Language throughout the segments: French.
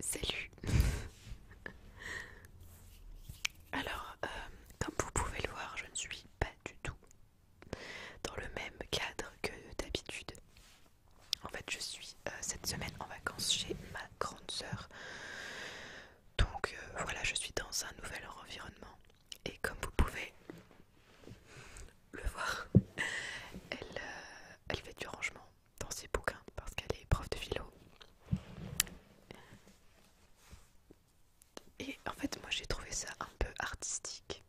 Salut Alors, euh, comme vous pouvez le voir, je ne suis pas du tout dans le même cadre que d'habitude. En fait, je suis euh, cette semaine en vacances chez ma grande sœur. Donc euh, voilà, je suis dans un nouvel environnement. Et comme vous pouvez le voir. Euh, elle, fait du rangement dans ses bouquins parce qu'elle est prof de philo. Et en fait, moi j'ai trouvé ça un peu artistique.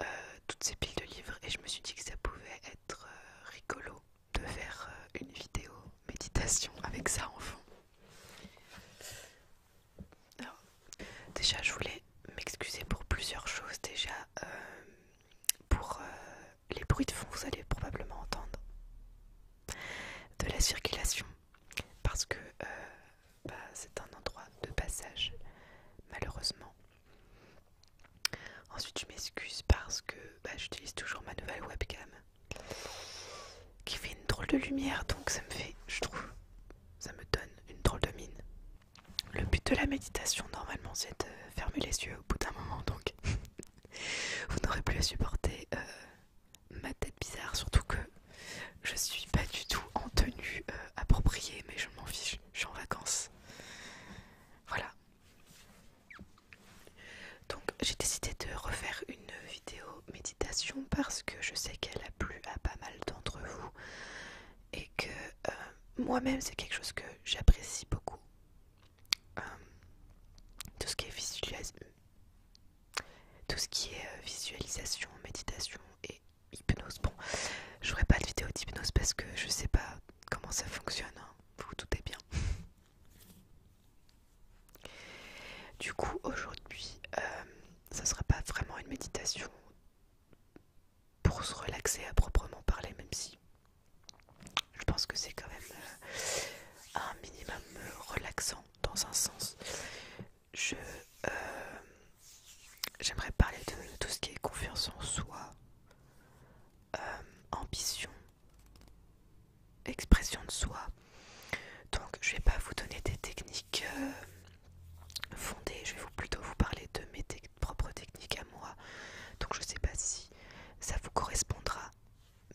Euh, toutes ces piles de livres et je me suis dit que ça pouvait être euh, rigolo de faire une vidéo méditation avec ça en fond. Déjà, je voulais m'excuser pour plusieurs choses. Déjà, euh, pour euh, les bruits de fond, vous allez probablement entendre de la circulation parce que euh, bah, c'est un endroit de passage, malheureusement. Ensuite, je m'excuse parce que bah, j'utilise toujours ma nouvelle webcam qui fait une drôle de lumière, donc ça me fait, je trouve, ça me donne une drôle de mine. Le but de la méditation, normalement, c'est de fermer les yeux au bout d'un moment, donc vous n'aurez plus à supporter euh, ma tête bizarre, surtout que je suis pas du tout en tenue euh, appropriée, mais je m'en fiche, je suis en vacances. Voilà. Donc j'ai décidé de refaire une vidéo méditation parce que je sais qu'elle a plu à pas mal d'entre vous et que euh, moi-même c'est quelque chose que j'apprécie beaucoup. Euh, tout ce qui est visualisation, tout ce qui est euh, visualisation, méditation et hypnose. Bon, je ferai pas de vidéo d'hypnose parce que je sais pas comment ça fonctionne. tout hein. Vous bien. Du coup, aujourd'hui, ça sera pas vraiment une méditation pour se relaxer à proprement parler, même si je pense que c'est quand même euh, un minimum euh, relaxant dans un sens. Je euh, j'aimerais parler de tout ce qui est confiance en soi, ambition, expression de soi. Donc je vais pas vous donner des techniques fondées, je vais plutôt vous parler de mes techniques propre technique à moi. Donc je sais pas si ça vous correspondra.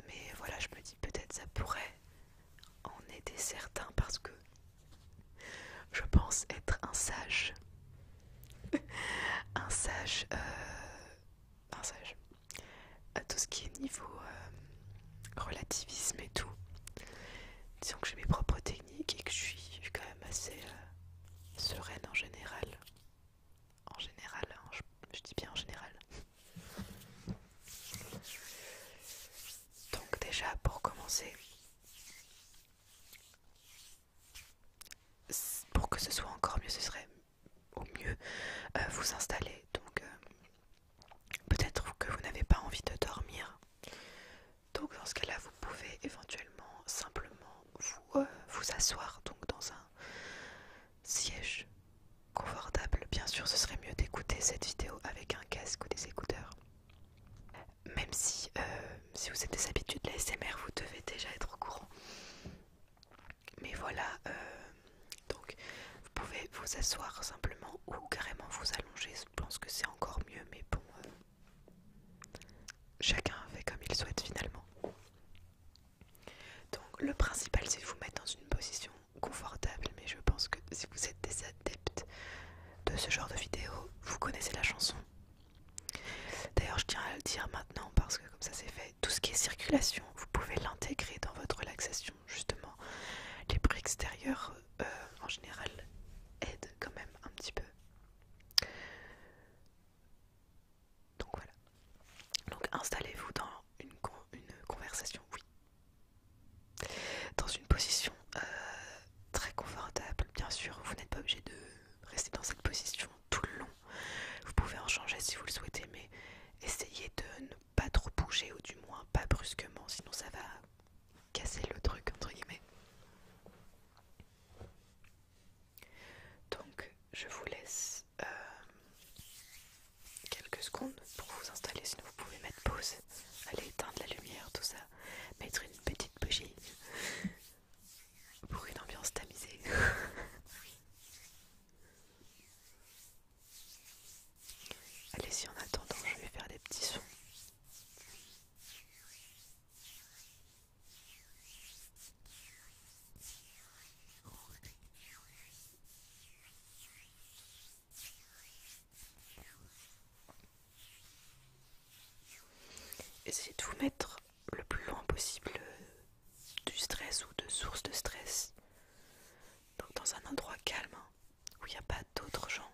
Mais voilà, je me dis peut-être ça pourrait en aider certains parce que je pense être un sage. un sage. Euh, un sage. À tout ce qui est niveau euh, relativisme et tout. Disons que j'ai mes propres techniques et que je suis, quand même assez. Euh, sereine en général. En général, hein, je, dis bien en général. Donc déjà pour commencer, pour que ce soit encore mieux, ce serait au mieux euh, vous installer. Donc euh, peut-être que vous n'avez pas envie de dormir donc dans ce cas-là, vous pouvez éventuellement simplement euh, vous, asseoir donc dans un siège confortable. Bien sûr, ce serait mieux d'écouter cette vidéo avec un casque ou des écouteurs. Même si, euh, si vous êtes des habitudes de l'ASMR, vous devez déjà être au courant. Mais voilà, euh, donc vous pouvez vous asseoir simplement ou carrément vous allonger. Je pense que c'est encore mieux, mais bon, Chacun fait comme il souhaite finalement. Donc le principal c'est de vous mettre dans une position confortable, mais je pense que si vous êtes des adeptes de ce genre de vidéo, vous connaissez la chanson. D'ailleurs je tiens à le dire maintenant parce que comme ça c'est fait, tout ce qui est circulation, vous pouvez l'intégrer dans votre relaxation justement. Les bruits extérieurs euh, en général aident quand même un petit peu. Donc voilà. Donc installez-vous dans une, conversation, oui. Dans une position euh, très confortable, bien sûr. Vous n'êtes pas obligé de rester dans cette position tout le long. Vous pouvez en changer si vous le souhaitez, mais essayez de ne pas trop bouger ou du moins pas brusquement, sinon ça va casser le truc entre guillemets. Donc je vous laisse euh, quelques secondes pour vous installer, sinon vous pouvez mettre pause, aller éteindre la lumière, tout ça, mettre une petite bougie pour une ambiance tamisée. Allez, si en attendant, je vais faire des petits sons. Essayez de vous mettre le plus loin possible du stress ou de source de stress. Donc dans un endroit calme hein, où il n'y a pas d'autres gens.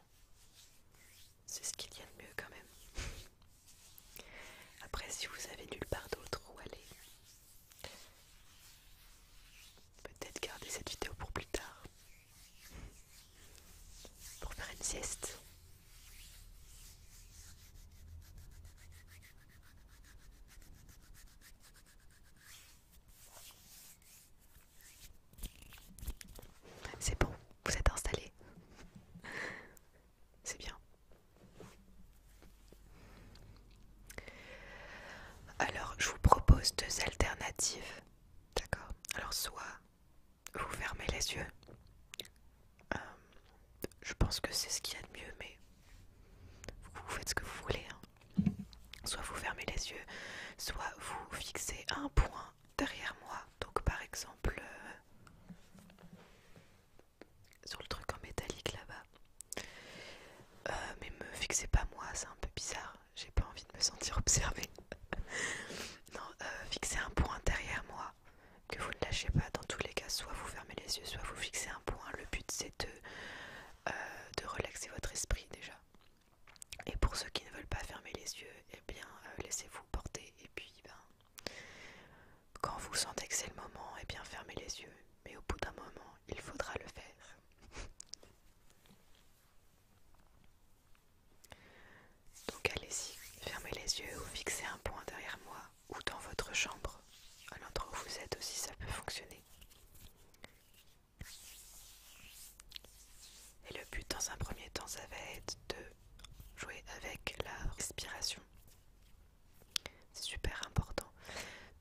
C'est ce qu'il y a de mieux quand même. Après, si vous avez nulle part d'autre où aller, peut-être garder cette vidéo pour plus tard. Pour faire une sieste. C'est bon, vous êtes installé. C'est bien. Alors, je vous propose deux alternatives. D'accord Alors, soit vous fermez les yeux. Euh, je pense que c'est ce qu'il y a de mieux, mais vous faites ce que vous voulez. Hein. Soit vous fermez les yeux, soit vous fixez un point derrière moi. Donc, par exemple, euh, sur le truc en métallique là-bas. Euh, mais me fixez pas moi, c'est un peu bizarre. J'ai pas envie de me sentir observée. non, euh, fixez un point derrière moi que vous ne lâchez pas. Dans tous les cas, soit vous fermez les yeux, soit vous fixez un point. Le but c'est de, euh, relaxer votre esprit déjà. Et pour ceux qui ne veulent pas fermer les yeux, eh bien laissez-vous porter et puis ben quand vous sentez que c'est le moment, et eh bien fermez les yeux, mais au bout d'un moment, il faudra le faire. Donc allez-y, fermez les yeux ou fixez un point derrière moi ou dans votre chambre, à l'endroit où vous êtes aussi, ça peut fonctionner. Et le but dans un premier temps, ça va être de jouer avec la respiration. C'est super important.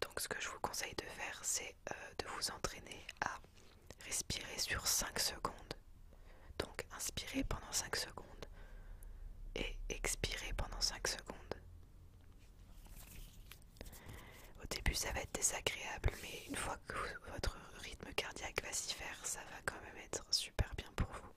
Donc ce que je vous conseille de faire, c'est euh, de vous entraîner à respirer sur 5 secondes. Donc inspirez pendant 5 secondes et expirez pendant 5 secondes. Au début, ça va être désagréable, mais une fois que votre rythme cardiaque va s'y faire, ça va quand même être super bien pour vous.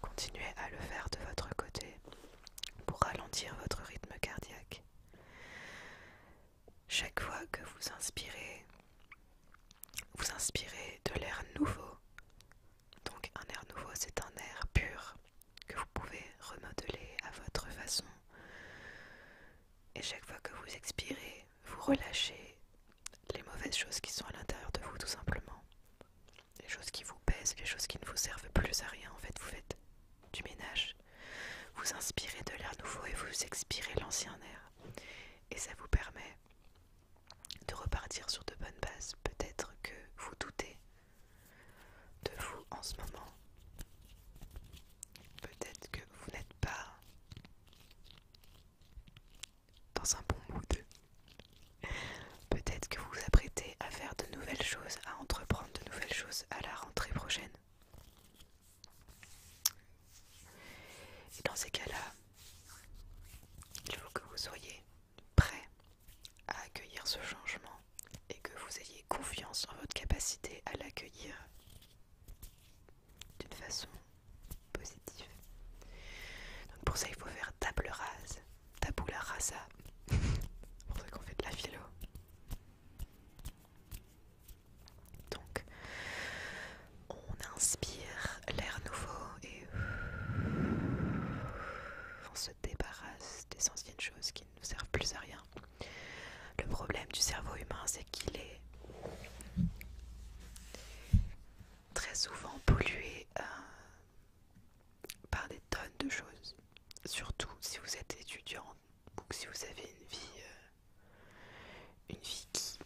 Continuez à le faire de votre côté pour ralentir votre rythme cardiaque. Chaque fois que vous inspirez, vous inspirez de l'air nouveau. Donc un air nouveau, c'est un air pur que vous pouvez remodeler à votre façon. Et chaque fois que vous expirez, vous relâchez les mauvaises choses qui sont à l'intérieur de vous tout simplement. Les choses qui vous pèsent, les choses qui ne vous servent plus à rien. En fait, vous faites du ménage. Vous inspirez de l'air nouveau et vous expirez l'ancien air. Et ça vous permet de repartir sur de bonnes bases. Peut-être que vous doutez de vous en ce moment. Peut-être que vous n'êtes pas dans un bon mood. Peut-être que vous vous apprêtez à faire de nouvelles choses, à entreprendre de nouvelles choses à la rentrée prochaine. Et dans ces cas-là, il faut que vous soyez prêt à accueillir ce changement et que vous ayez confiance en votre capacité à l'accueillir d'une façon positive. Donc pour ça, il faut faire table rase, tabula rasa. pour ça qu'on fait de la philo. Donc, on inspire l'air nouveau et on se débarrasse des anciennes choses qui ne nous servent plus à rien. Le problème du cerveau humain, c'est qu'il est très souvent pollué euh, par des tonnes de choses. Surtout si vous êtes étudiant ou si vous avez une vie, euh, une vie qui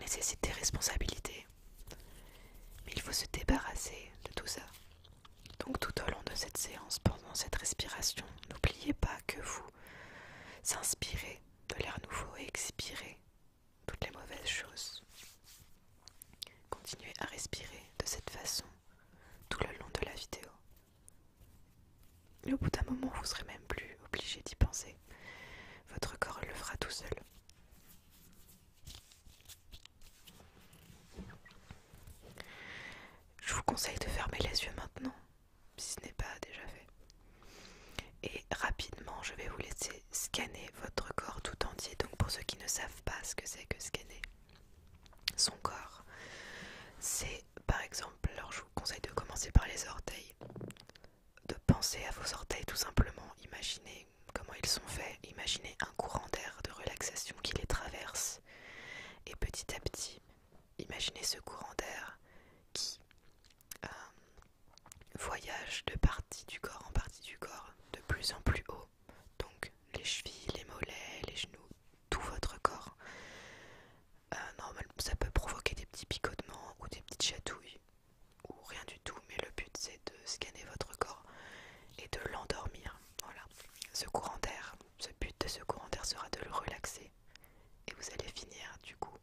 nécessite des responsabilités. Mais il faut se débarrasser de tout ça. Donc tout au long de cette séance, pendant cette respiration, n'oubliez pas que vous s'inspirer de l'air nouveau et expirer toutes les mauvaises choses. Continuez à respirer de cette façon tout le long de la vidéo. Et au bout d'un moment, vous serez même plus obligé d'y penser. Votre corps le fera tout seul. Je vous conseille de fermer les yeux maintenant si ce n'est pas déjà fait. Et rapidement, je vais vous laisser scanner votre corps tout entier. Donc pour ceux qui ne savent pas ce que c'est que scanner son corps, c'est par exemple, alors je vous conseille de commencer par les orteils, de penser à vos orteils tout simplement, imaginez comment ils sont faits, imaginez un courant d'air de relaxation qui les traverse et petit à petit imaginez ce courant d'air qui euh, voyage de partie du corps en partie du corps de plus en plus haut. Donc les chevilles, les mollets, les genoux, tout votre corps. Euh, normalement, ça peut provoquer des petits picotements ou des petites chatouilles ou rien du tout, mais le but c'est de scanner votre corps et de l'endormir. Voilà. Ce courant d'air, ce but de ce courant d'air sera de le relaxer et vous allez finir du coup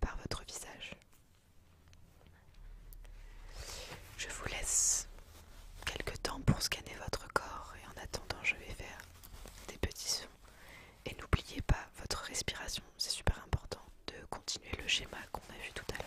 par votre visage. Je vous laisse quelques temps pour scanner votre corps et en attendant je vais faire des petits sons. Et n'oubliez pas votre respiration, c'est super important de continuer le schéma qu'on a vu tout à l'heure.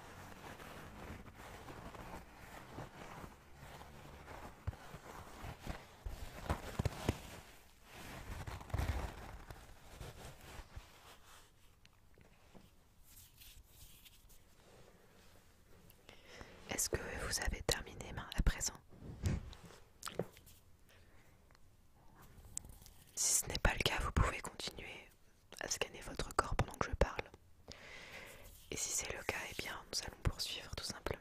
Est-ce que vous avez terminé à présent Si ce n'est pas le cas, vous pouvez continuer à scanner votre corps pendant que je parle. Et si c'est le cas, eh bien, nous allons poursuivre tout simplement.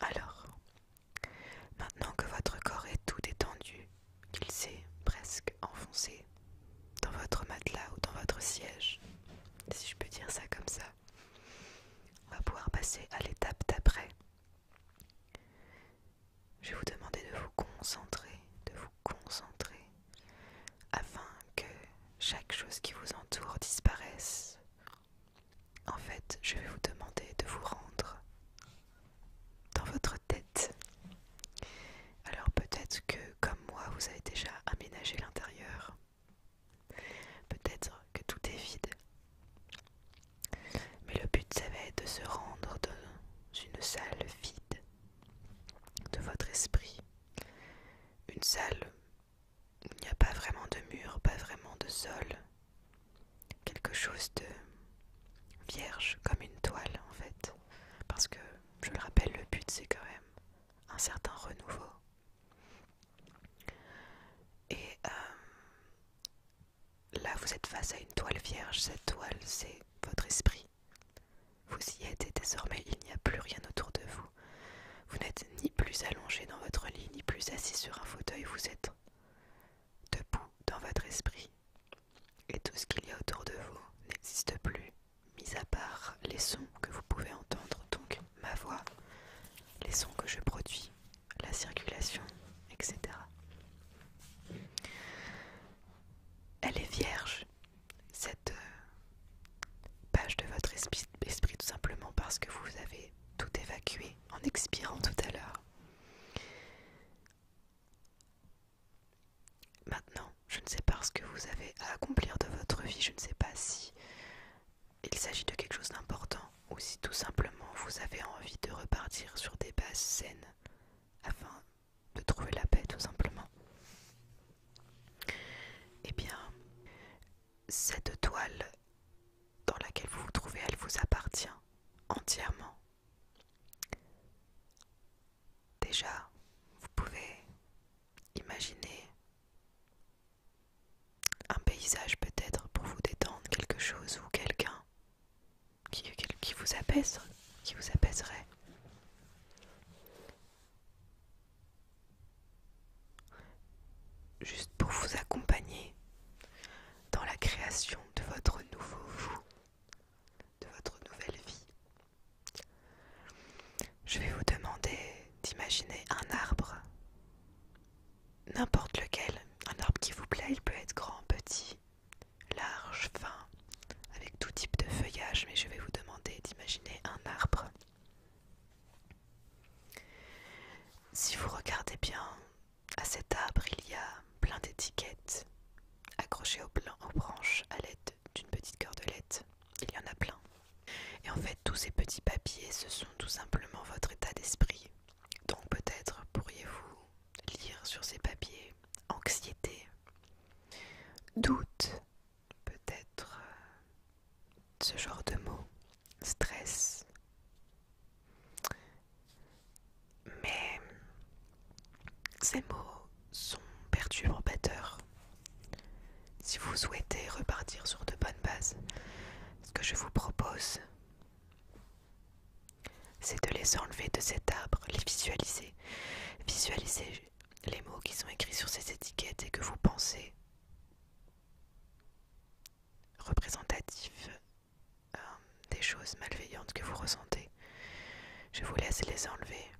Alors, maintenant que votre corps est tout détendu, qu'il s'est presque enfoncé dans votre matelas ou dans votre siège, si je peux dire ça comme ça, on va pouvoir passer à l'étape d'après. Je vais vous demander de vous concentrer, de vous concentrer, afin que chaque chose qui vous entoure disparaisse. En fait, je vais vous demander de vous rendre dans votre tête. Alors peut-être que, comme moi, vous avez déjà aménagé l'intérieur. Peut-être que tout est vide. Mais le but, ça va être de se rendre dans une salle vide de votre esprit. Une salle, où il n'y a pas vraiment de mur, pas vraiment de sol. Quelque chose de vierge, comme une toile en fait. Parce que, je le rappelle, le but c'est quand même un certain renouveau. Et euh, là, vous êtes face à une toile vierge. Cette toile, c'est votre esprit. Vous y êtes et désormais il n'y a plus rien autour de vous. Vous n'êtes ni plus allongé dans votre lit, ni plus assis sur un fauteuil, vous êtes debout dans votre esprit. Et tout ce qu'il y a autour de vous n'existe plus, mis à part les sons que vous pouvez entendre, donc ma voix, les sons que je produis, la circulation, etc elle est vierge, cette euh, page de votre esprit, tout simplement parce que vous avez tout évacué en expirant tout à l'heure. Maintenant, je ne sais pas ce que vous avez à accomplir de votre vie, je ne sais pas si il s'agit de quelque chose d'important ou si tout simplement vous avez envie de repartir sur des bases saines afin de trouver la paix tout simplement. Eh bien, cette toile dans laquelle vous vous trouvez, elle vous appartient entièrement. Déjà, vous pouvez imaginer un paysage peut-être pour vous détendre, quelque chose ou quelqu'un qui, vous apaise, qui vous apaiserait. Juste pour vous accompagner dans la création de votre nouveau vous, de votre nouvelle vie. Je vais vous demander d'imaginer un arbre, n'importe lequel, un arbre qui vous plaît, il peut être grand, petit, large, fin, avec tout type de feuillage, mais je vais vous demander d'imaginer un arbre. Si vous regardez bien, à cet arbre, il y a plein d'étiquettes accrochées aux, branches à l'aide d'une petite cordelette. Il y en a plein. Et en fait, tous ces petits papiers, ce sont tout simplement votre état d'esprit. Donc peut-être pourriez-vous lire sur ces papiers, anxiété, doute, peut-être euh, ce genre de mots, stress. Mais ces mots sont perturbateurs. Si vous souhaitez repartir sur de bonnes bases, ce que je vous propose, c'est de les enlever de cet arbre, les visualiser Visualisez les mots qui sont écrits sur ces étiquettes et que vous pensez représentatifs euh, des choses malveillantes que vous ressentez. Je vous laisse les enlever,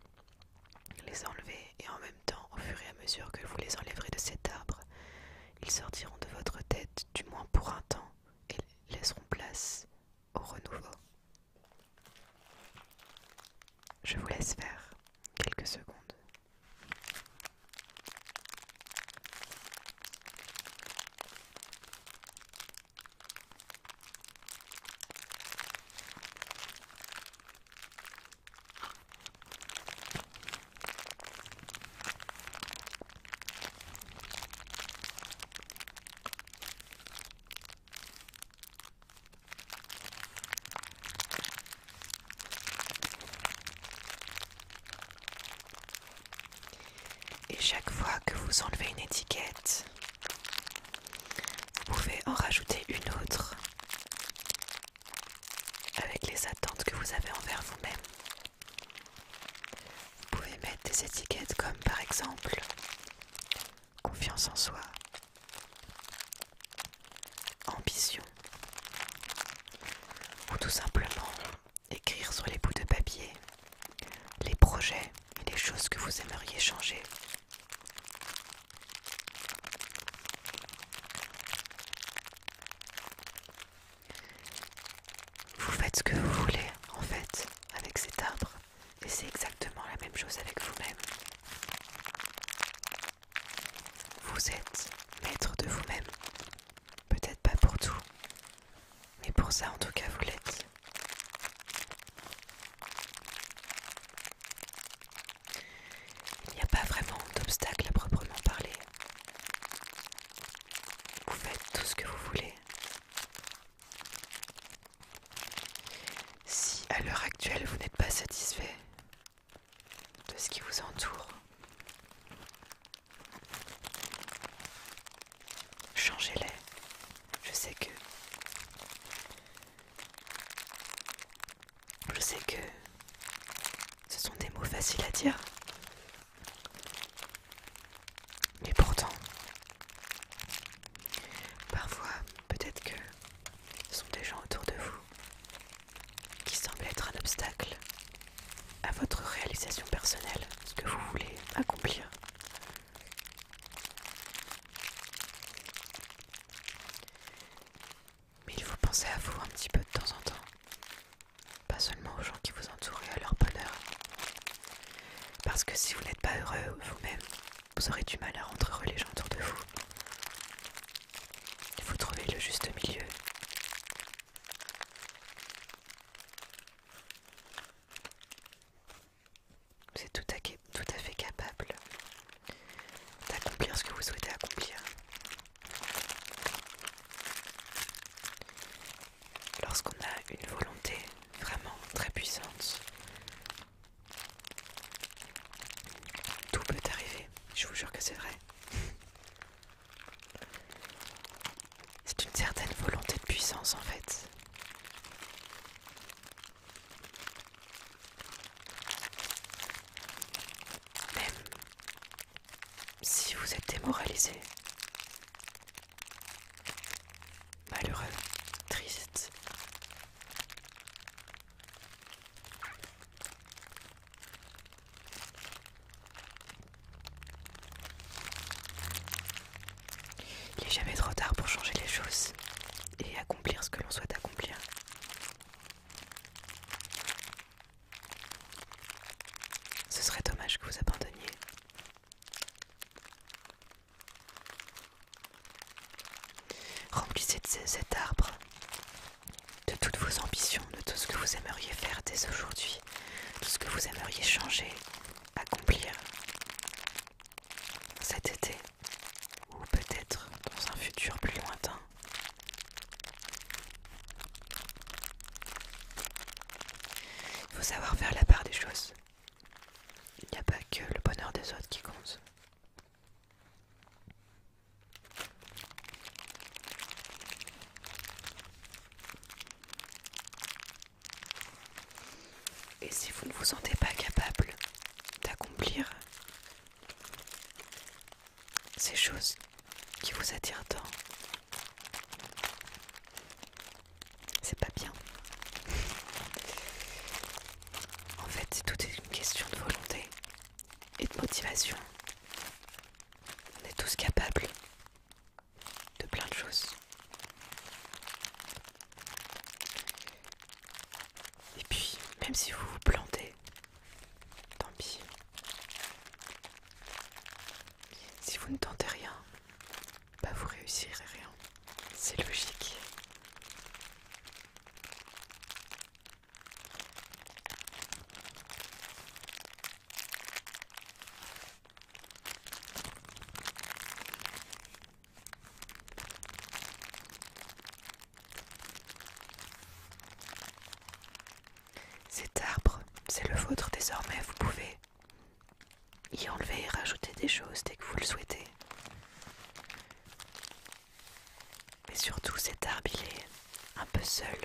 les enlever et en même temps, au fur et à mesure que vous les enlèverez de cet arbre, ils sortiront de votre tête, du moins pour un temps, et laisseront place au renouveau. Je vous laisse faire quelques secondes. Et chaque fois que vous enlevez une étiquette, vous pouvez en rajouter une autre avec les attentes que vous avez envers vous-même. Vous pouvez mettre des étiquettes comme par exemple confiance en soi, ambition, ou tout simplement écrire sur les bouts de papier les projets et les choses que vous aimeriez changer. Vous faites ce que vous voulez en fait avec cet arbre. Et c'est exactement la même chose avec vous-même. Vous êtes maître de vous-même. Peut-être pas pour tout, mais pour ça en tout cas vous l'êtes. Il n'y a pas vraiment d'obstacle à proprement parler. Vous faites tout ce que vous voulez. Si à l'heure actuelle vous n'êtes pas satisfait de ce qui vous entoure, changez-les. Je sais que... Je sais que... Ce sont des mots faciles à dire. Mais pourtant, Parfois, peut-être que ce sont des gens autour de vous qui semblent être un obstacle à votre réalisation personnelle, ce que vous voulez accomplir. Mais il faut penser à vous un petit peu de temps en temps, pas seulement aux gens qui vous entourent et à leur bonheur. Parce que si vous n'êtes pas heureux vous-même, vous aurez du mal à rentrer les gens autour de vous. Il faut trouver le juste milieu. Vous êtes tout à fait capable d'accomplir ce que vous souhaitez accomplir. Lorsqu'on a une volonté vraiment très puissante, tout peut arriver, je vous jure que c'est vrai. C'est une certaine volonté de puissance en fait. Même si vous êtes démoralisé, malheureux, triste. Il n'est jamais trop tard pour changer les choses et accomplir ce que l'on souhaite accomplir. Ce serait dommage que vous abandonniez. Remplissez cet arbre de toutes vos ambitions, de tout ce que vous aimeriez faire dès aujourd'hui, tout ce que vous aimeriez changer, accomplir cet été ou peut-être dans un futur plus lointain. Il faut savoir faire la part des choses. Il n'y a pas que le bonheur des autres qui compte. Et si vous ne vous sentez pas capable d'accomplir ces choses qui vous attirent tant, c'est pas bien. En fait, tout est une question de volonté et de motivation. On est tous capables de plein de choses. Et puis, même si vous vous plantez, tant pis. Si vous ne tentez rien, pas bah, vous réussirez rien. C'est logique. Cet arbre, c'est le vôtre désormais, vous pouvez y enlever et rajouter des choses dès que vous le souhaitez. Mais surtout cet arbre, il est un peu seul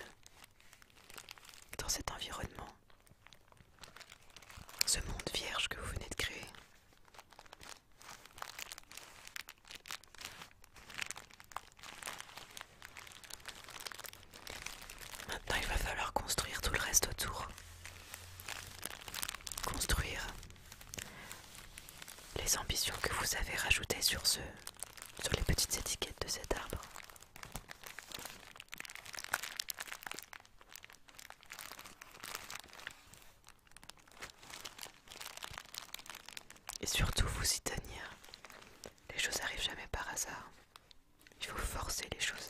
dans cet environnement. Ce monde vierge que vous venez de créer. Maintenant, il va falloir construire tout le reste autour. Construire les ambitions que vous avez rajoutées sur ce sur les petites étiquettes de cet arbre. Et surtout vous y tenir. Les choses n'arrivent jamais par hasard. Il faut forcer les choses.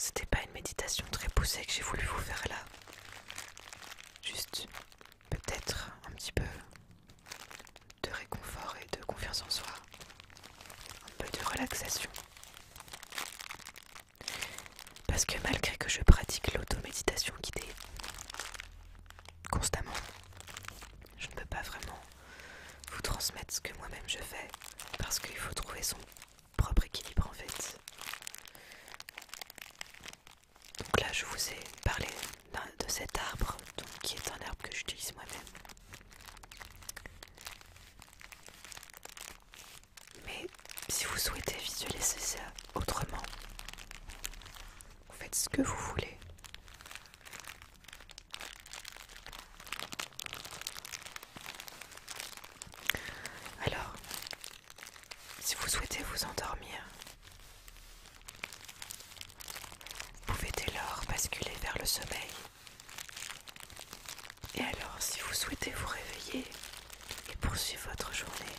C'était pas une méditation très poussée que j'ai voulu vous faire là. Juste peut-être un petit peu de réconfort et de confiance en soi, un peu de relaxation. Parce que malgré que je pratique l'automéditation guidée constamment, je ne peux pas vraiment vous transmettre ce que moi-même je fais parce qu'il faut trouver son propre équilibre en fait. Donc là, je vous ai parlé de cet arbre qui est un arbre que j'utilise moi-même. Mais si vous souhaitez visualiser ça autrement, vous faites ce que vous voulez. Alors, si vous souhaitez vous endormir, vous pouvez dès lors basculer vers le sommeil et alors, si vous souhaitez vous réveiller et poursuivre votre journée,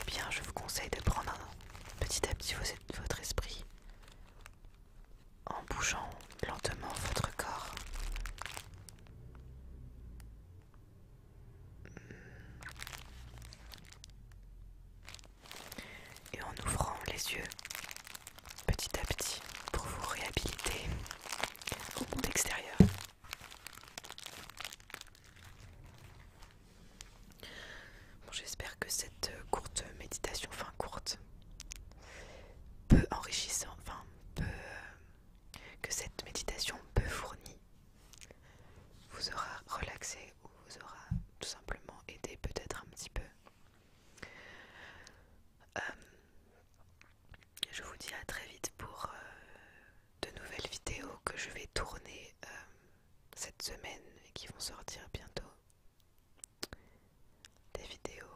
eh bien, je vous conseille de prendre petit à petit votre esprit en bougeant lentement votre corps et en ouvrant les yeux petit à petit pour vous réhabiliter au monde extérieur. J'espère que cette courte méditation, enfin courte, peut enrichissante, enfin que cette méditation peu fournie vous aura relaxé ou vous aura tout simplement aidé peut-être un petit peu euh, je vous dis à très vite pour euh, de nouvelles vidéos que je vais tourner euh, cette semaine et qui vont sortir bientôt. Des vidéos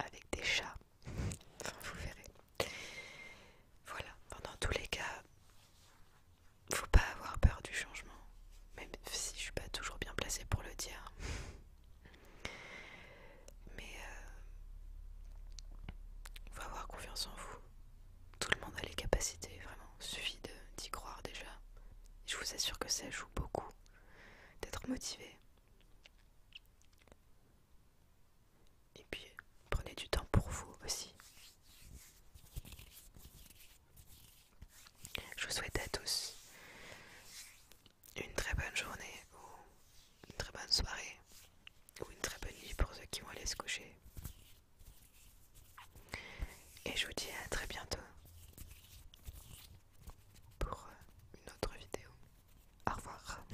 avec des chats. Enfin, vous verrez. Voilà, dans tous les cas, faut pas avoir peur du changement, même si je suis pas toujours bien placée pour le dire. Mais il euh, faut avoir confiance en vous. Tout le monde a les capacités, vraiment. Il suffit d'y croire déjà. Je vous assure que ça joue beaucoup d'être motivé. Et puis, prenez du temps pour vous aussi. Je vous souhaite à tous une très bonne journée ou une très bonne soirée ou une très bonne nuit pour ceux qui vont aller se coucher. Et je vous dis à très bientôt pour une autre vidéo. Au revoir.